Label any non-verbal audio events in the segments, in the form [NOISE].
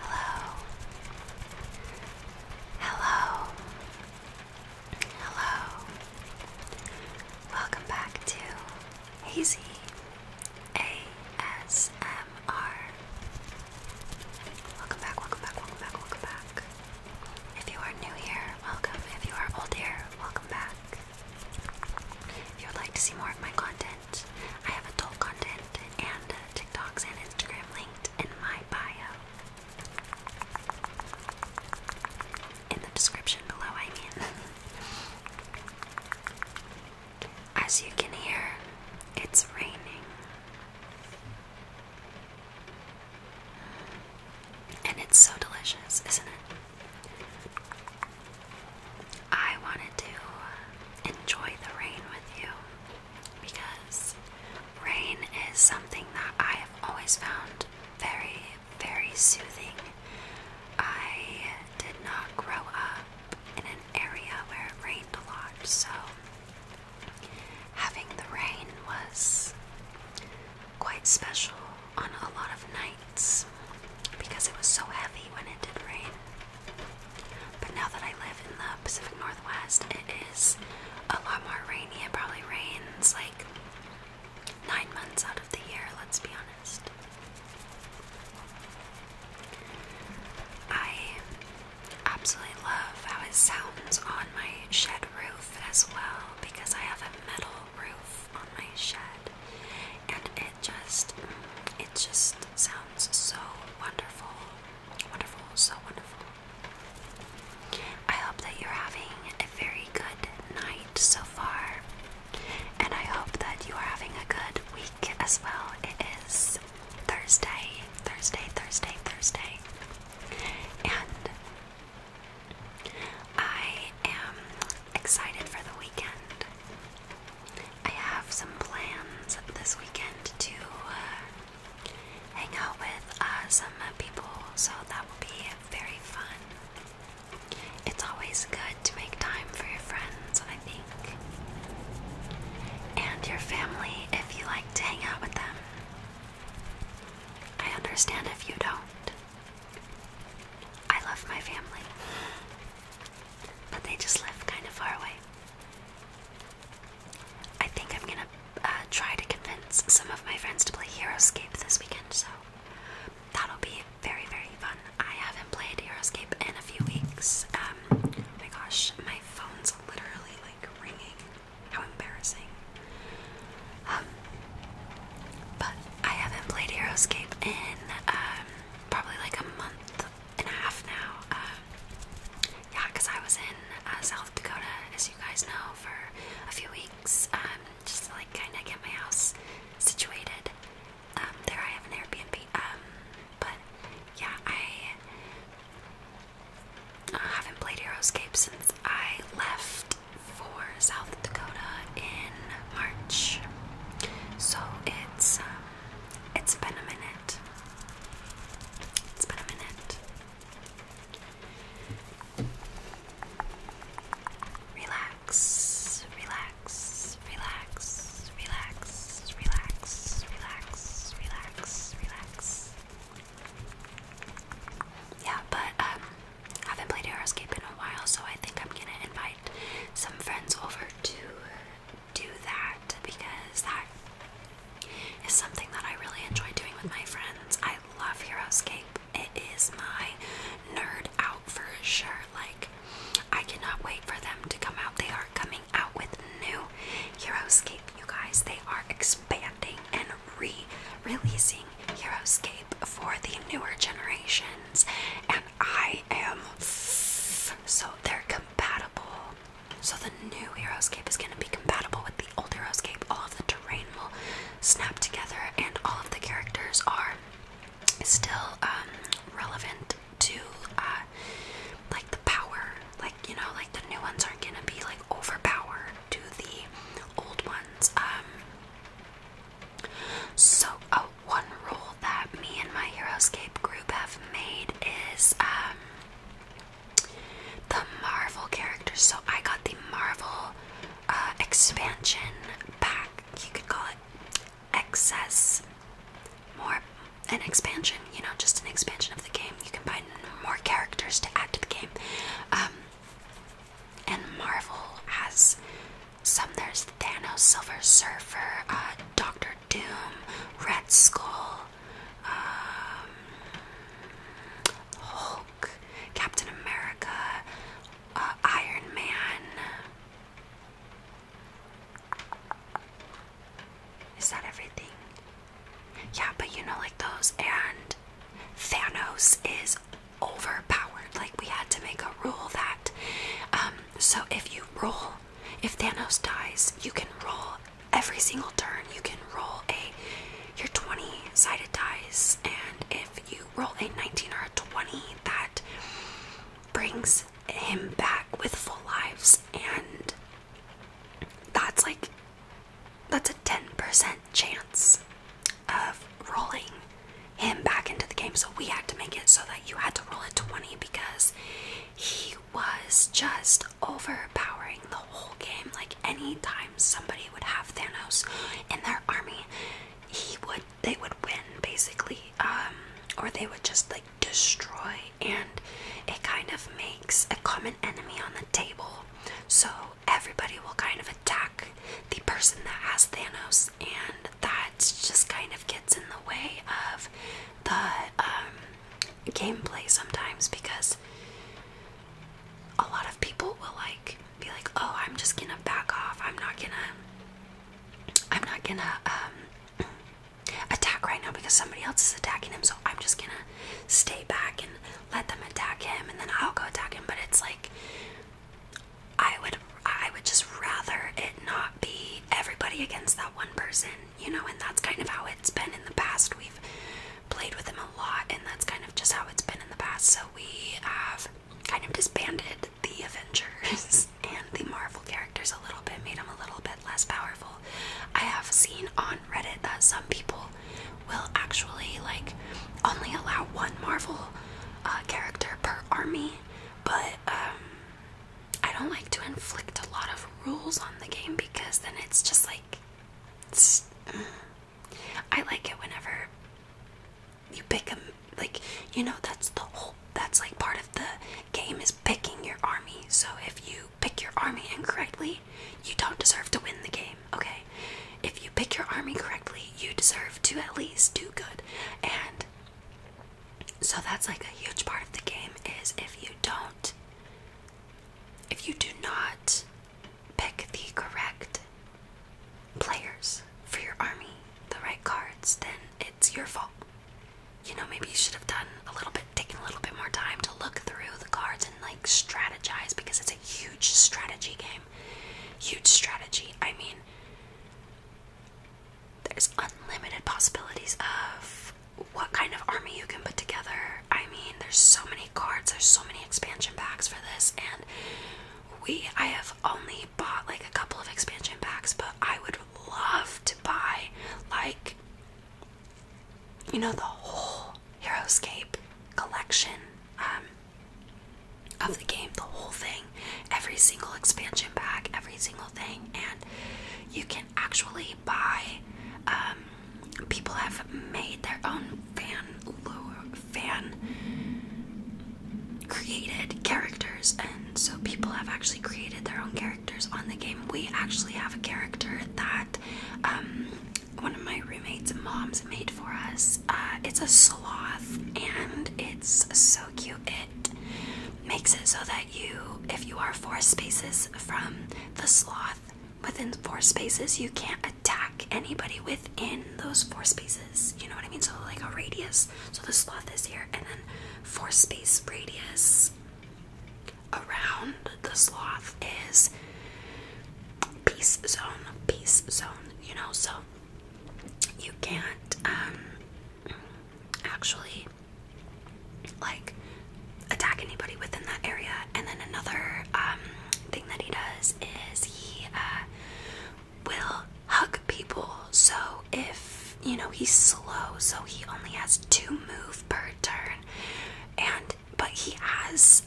Hello. Hello. Hello. Welcome back to Hazy ASMR. Welcome back, welcome back, welcome back, welcome back. If you are new here, welcome. If you are old here, welcome back. If you would like to see more of my content, I have adult content and TikToks and Instagram linked in my bio. In the description below, I mean. [LAUGHS] As you can hear, it's raining. And it's so delicious, isn't it? I wanted to enjoy the rain with you because rain is something that I have always found very, very soothing. I did not grow up in an area where it rained a lot, so having the rain was quite special on a lot of nights nights because it was so heavy when it did rain. But now that I live in the Pacific Northwest, it is a lot more rainy. It probably rains like nine months out of the year, let's be honest. I absolutely love how it sounds on my shed roof as well because I have a metal roof on my shed and it just it just sounds so wonderful wonderful so wonderful I hope that you're having a very good night so far and I hope that you are having a good week as well it is Thursday Thursday Thursday Thursday and I am excited for the weekend. I have some plans this weekend to uh, hang out with uh, some uh, people, so that will be very fun. It's always good to make time for your friends, I think, and your family if you like to hang out with them. I understand if you don't. I love my family but they just live kind of far away. I think I'm gonna uh, try to convince some of my friends to play Heroescape this weekend, so that'll be very, very fun. I haven't played Heroescape in a few weeks. Um, oh my gosh, my phone's literally like ringing. How embarrassing. Um, but I haven't played Heroescape in um, probably like a month and a half now. Um, yeah, because I was in uh, South Dakota, as you guys know, for a few weeks, um, just to like kind of get my house situated. Um, there I have an Airbnb. Um, but yeah, I uh, haven't played Aeroscape since I left for South Dakota in March. So it's um, it's been a minute. It's been a minute. Relax, relax, relax, relax, relax, relax, relax, relax. Yeah, but um, I haven't played Aeroscape in a while, so I think I'm gonna invite some friends over to do that because that is something that I really enjoy doing with my friends. I love Heroescape. It is my nerd out for sure. Like, I cannot wait for them to come out. They are coming out with new Heroescape, you guys. They are expanding and re releasing Heroescape for the newer generation and I am so they're compatible. So the new Heroescape is going to be compatible with the old Heroescape. All of the terrain will snap together, and all of the characters are still um, relevant to uh, like the power. Like you know, like the new ones aren't going to be like overpowered to the old ones. Um, so, one rule that me and my Heroescape group have made is um, the Marvel characters. So, I got the Marvel uh, expansion pack. You could call it excess, more an expansion, you know, just an expansion of the game. You can buy more characters to add to the game. Um, and Marvel has some there's Thanos, Silver Surfer, uh, Doctor Doom, Red Skull, um, Hulk, Captain America, uh, Iron Man. Is that everything? Yeah, but you know, like those, and Thanos is overpowered. Like, we had to make a rule that um, so if you roll if Thanos dies you can roll every single turn you can roll a your 20 sided dice and if you roll a 19 or a 20 that brings him back with full lives and that's like that's a 10% chance of rolling him back into the game. So we had to make it so that you had to roll a 20 because he was just overpowering the whole game. Like anytime somebody would have Thanos in their army, he would they would win basically. Um, or they would just like destroy and it kind of makes a common enemy on the table. So everybody will kind of attack the person that has Thanos and that it just kind of gets in the way of the um, gameplay sometimes because a lot of people will like be like, "Oh, I'm just gonna back off. I'm not gonna, I'm not gonna um, [CLEARS THROAT] attack right now because somebody else is attacking him. So I'm just gonna stay back and let them attack him, and then I'll go attack him." But it's like I would I would just rather it not be everybody against that one person, you know, and that's kind of how it's been in the past. We've played with them a lot and that's kind of just how it's been in the past. So we have kind of disbanded the Avengers [LAUGHS] and the Marvel characters a little bit, made them a little bit less powerful. I have seen on Reddit that some people will actually like only allow one Marvel uh, character per army, but um, I don't like to inflict a lot of rules on the game because then it's just like mm. I like it whenever you pick them like you know that's the whole that's like part of the game is picking your army. So if you pick your army incorrectly, you don't deserve to win the game, okay? If you pick your army correctly, you deserve to at least do good. And so that's like a huge part of the game is if you don't if you do not pick the correct players for your army, the right cards, then it's your fault. You know, maybe you should have done a little bit taken a little bit more time to look through the cards and like strategize because it's a huge strategy game. Huge strategy. I mean, there's unlimited possibilities of what kind of army you can put together. I mean, there's so many cards, there's so many expansion packs for this, and we I have only bought like a couple of expansion packs, but I would love to buy like you know the whole Heroescape collection um, of the game, the whole thing every single expansion pack, every single thing, and you can actually buy. Um, people have made their own fan fan created characters, and so people have actually created their own characters on the game. We actually have a character that um, one of my roommates' moms made for us. Uh, it's a sloth, and it's so cute. It makes it so that you, if you are four spaces from the sloth, within four spaces, you can't attack anybody within those four spaces. You know what I mean? So, like a radius. So, the sloth is here, and then four space radius around the sloth is peace zone, peace zone, you know? So, you can't, um, actually like attack anybody within that area. And then another um, thing that he does is he uh, will hug people. So if you know he's slow, so he only has two move per turn, and but he has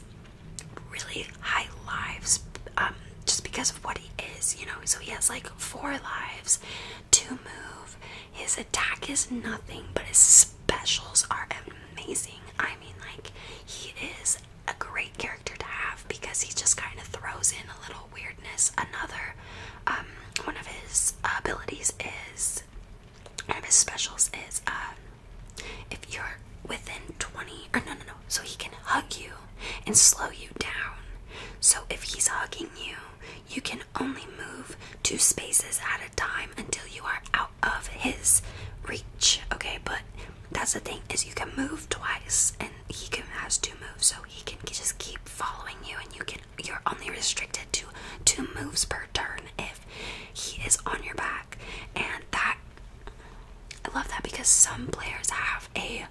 really high lives. Um, just because of what he is, you know. So he has like four lives, to move. His attack is nothing, but his specials are amazing. I mean, like, he is a great character to have because he just kind of throws in a little weirdness. Another um, one of his abilities is one of his specials is uh, if you're within 20 or no, no, no, so he can hug you and slow you down. So if he's hugging you, you can only move two spaces at a time until you are out of his reach. Okay, but that's the thing is you can move twice and he can has two moves, so he can just keep following you and you can you're only restricted to two moves per turn if he is on your back. And that I love that because some players have a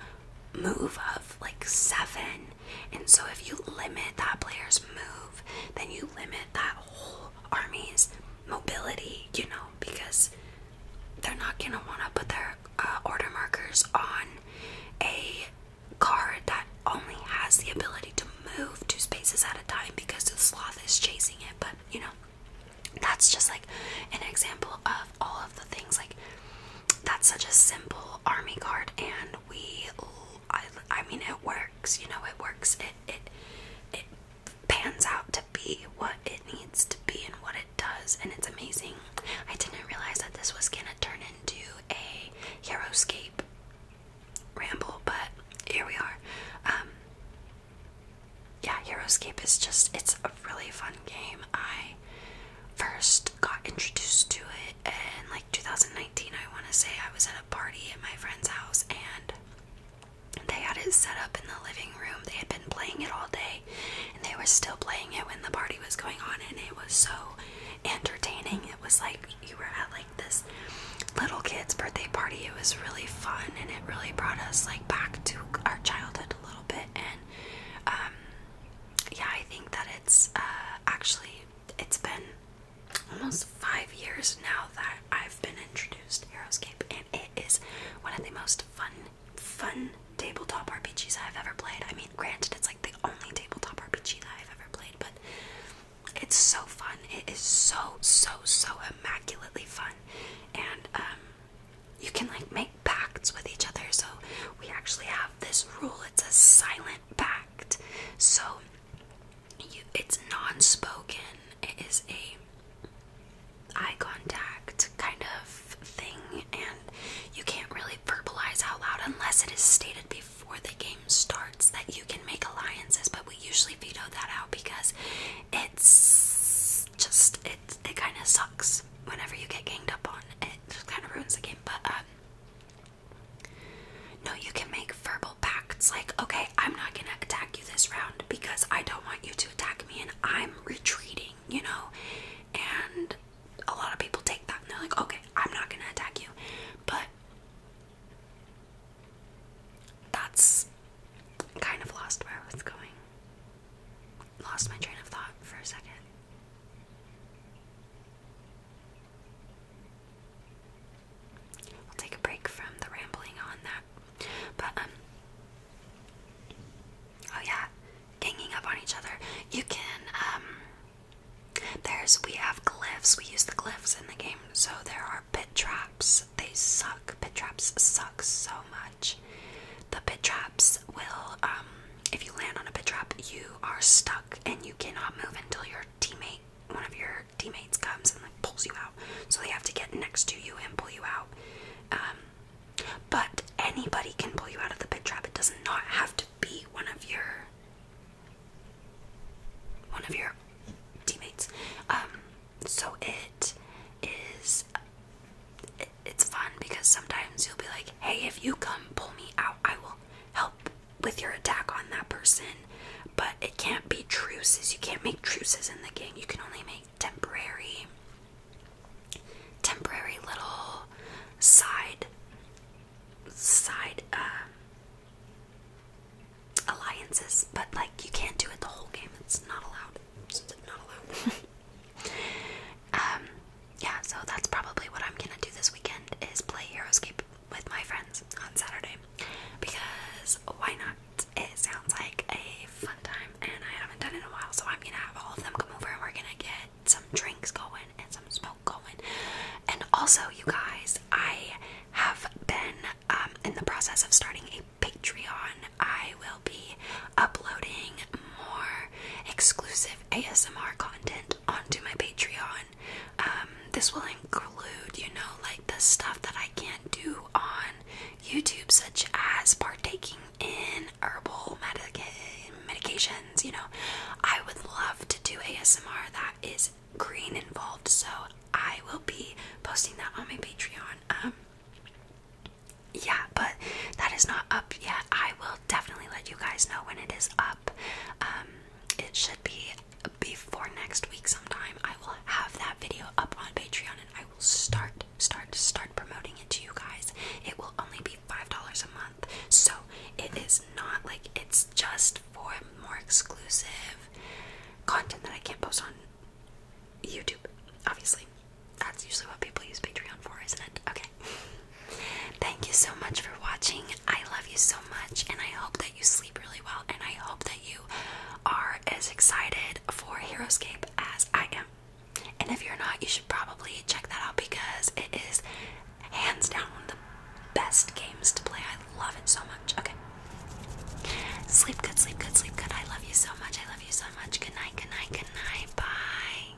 move of like seven. And so if you limit that player's move, then you limit that whole army's mobility, you know, because they're not going to want to put their uh, order markers on a card that only has the ability to move two spaces at a time because the sloth is chasing it. But, you know, that's just like an example of all of the things like that's such a simple army card and we I, mean it works you know it works it it it pans out to be what it needs to be and what it does and it's amazing I didn't realize that this was gonna turn into a Heroescape ramble but here we are um, yeah Heroescape is just it's a really fun game I first got introduced to it and like 2019, I want to say. I was at a party at my friend's house and they had it set up in the living room. They had been playing it all day and they were still playing it when the party was going on, and it was so entertaining. It was like you were at like this little kid's birthday party. It was really fun and it really brought us like back to our childhood a little bit and um yeah, I think that it's uh, actually it's been almost five years now that I've been introduced to Heroescape, and it is one of the most fun, fun tabletop RPGs I've ever played. I mean, granted, it's like the only tabletop RPG that I've ever played, but it's so fun. It is so, so, so immaculately fun, and um, you can like make pacts with each other. So we actually have this rule. It's a silent pact. So it's non-spoken. It is a eye contact kind of thing, and you can't really verbalize out loud unless it is stated before the game starts that you can make alliances. But we usually veto that out because it's just it. It kind of sucks whenever you get ganged up on, it just kind of ruins the game. But um, no, you can make verbal pacts like, okay, I'm not gonna attack you this round because I don't want you to attack me, and I'm retreating, you know. And a lot of people take that and like, okay, I'm not gonna attack you, but that's kind of lost where I was going lost my train of thought for a second. I'll take a break from the rambling on that. But, um, oh yeah, ganging up on each other. You can, um, there's, we have glyphs. We use the glyphs in the game. So there are pit traps. They suck. Pit traps suck so much. The pit traps will, um, if you land on a pit trap, you are stuck and you cannot move until your teammate, one of your teammates, comes and like pulls you out. So they have to get next to you and pull you out. Um, but anybody can pull you out of the pit trap. It does not have to be one of your one of your teammates. Um, so it is it's fun because sometimes you'll be like, hey, if you come pull me out, I will help with your attack on that person. But it can't be truces. You can't make truces in the game. You can only make temporary, temporary little side, side uh, alliances. But like, you can't do it the whole game. It's not allowed. It's not allowed. [LAUGHS] Um, yeah, so that's probably what I'm gonna do this weekend is play Heroescape with my friends on Saturday because why not? It sounds like a fun time, and I haven't done it in a while, so I'm gonna have all of them come over and we're gonna get some drinks going and some smoke going. And also, you guys, I have been um, in the process of starting a Patreon. I will be uploading more exclusive ASMR content onto my Patreon. Um, this will include, you know, like the stuff that I can't do on YouTube, such as partaking in herbal medica medications. You know, I would love to do ASMR that is green involved, so I will be posting that on my Patreon. Um, yeah, but that is not up yet. I will definitely let you guys know when it is up. Um, it should be before next week sometime. I will have that video up on Patreon and I will start, start, start promoting it to you guys. It will only be $5 a month. So it is not like it's just for more exclusive content that I can't post on YouTube, obviously. That's usually what people use Patreon for, isn't it? Okay. Thank you so much for watching. I love you so much, and I hope that you sleep really well. And I hope that you are as excited for Heroescape as I am. And if you're not, you should probably check that out because it is hands down the best games to play. I love it so much. Okay. Sleep good, sleep good, sleep good. I love you so much. I love you so much. Good night, good night, good night. Bye.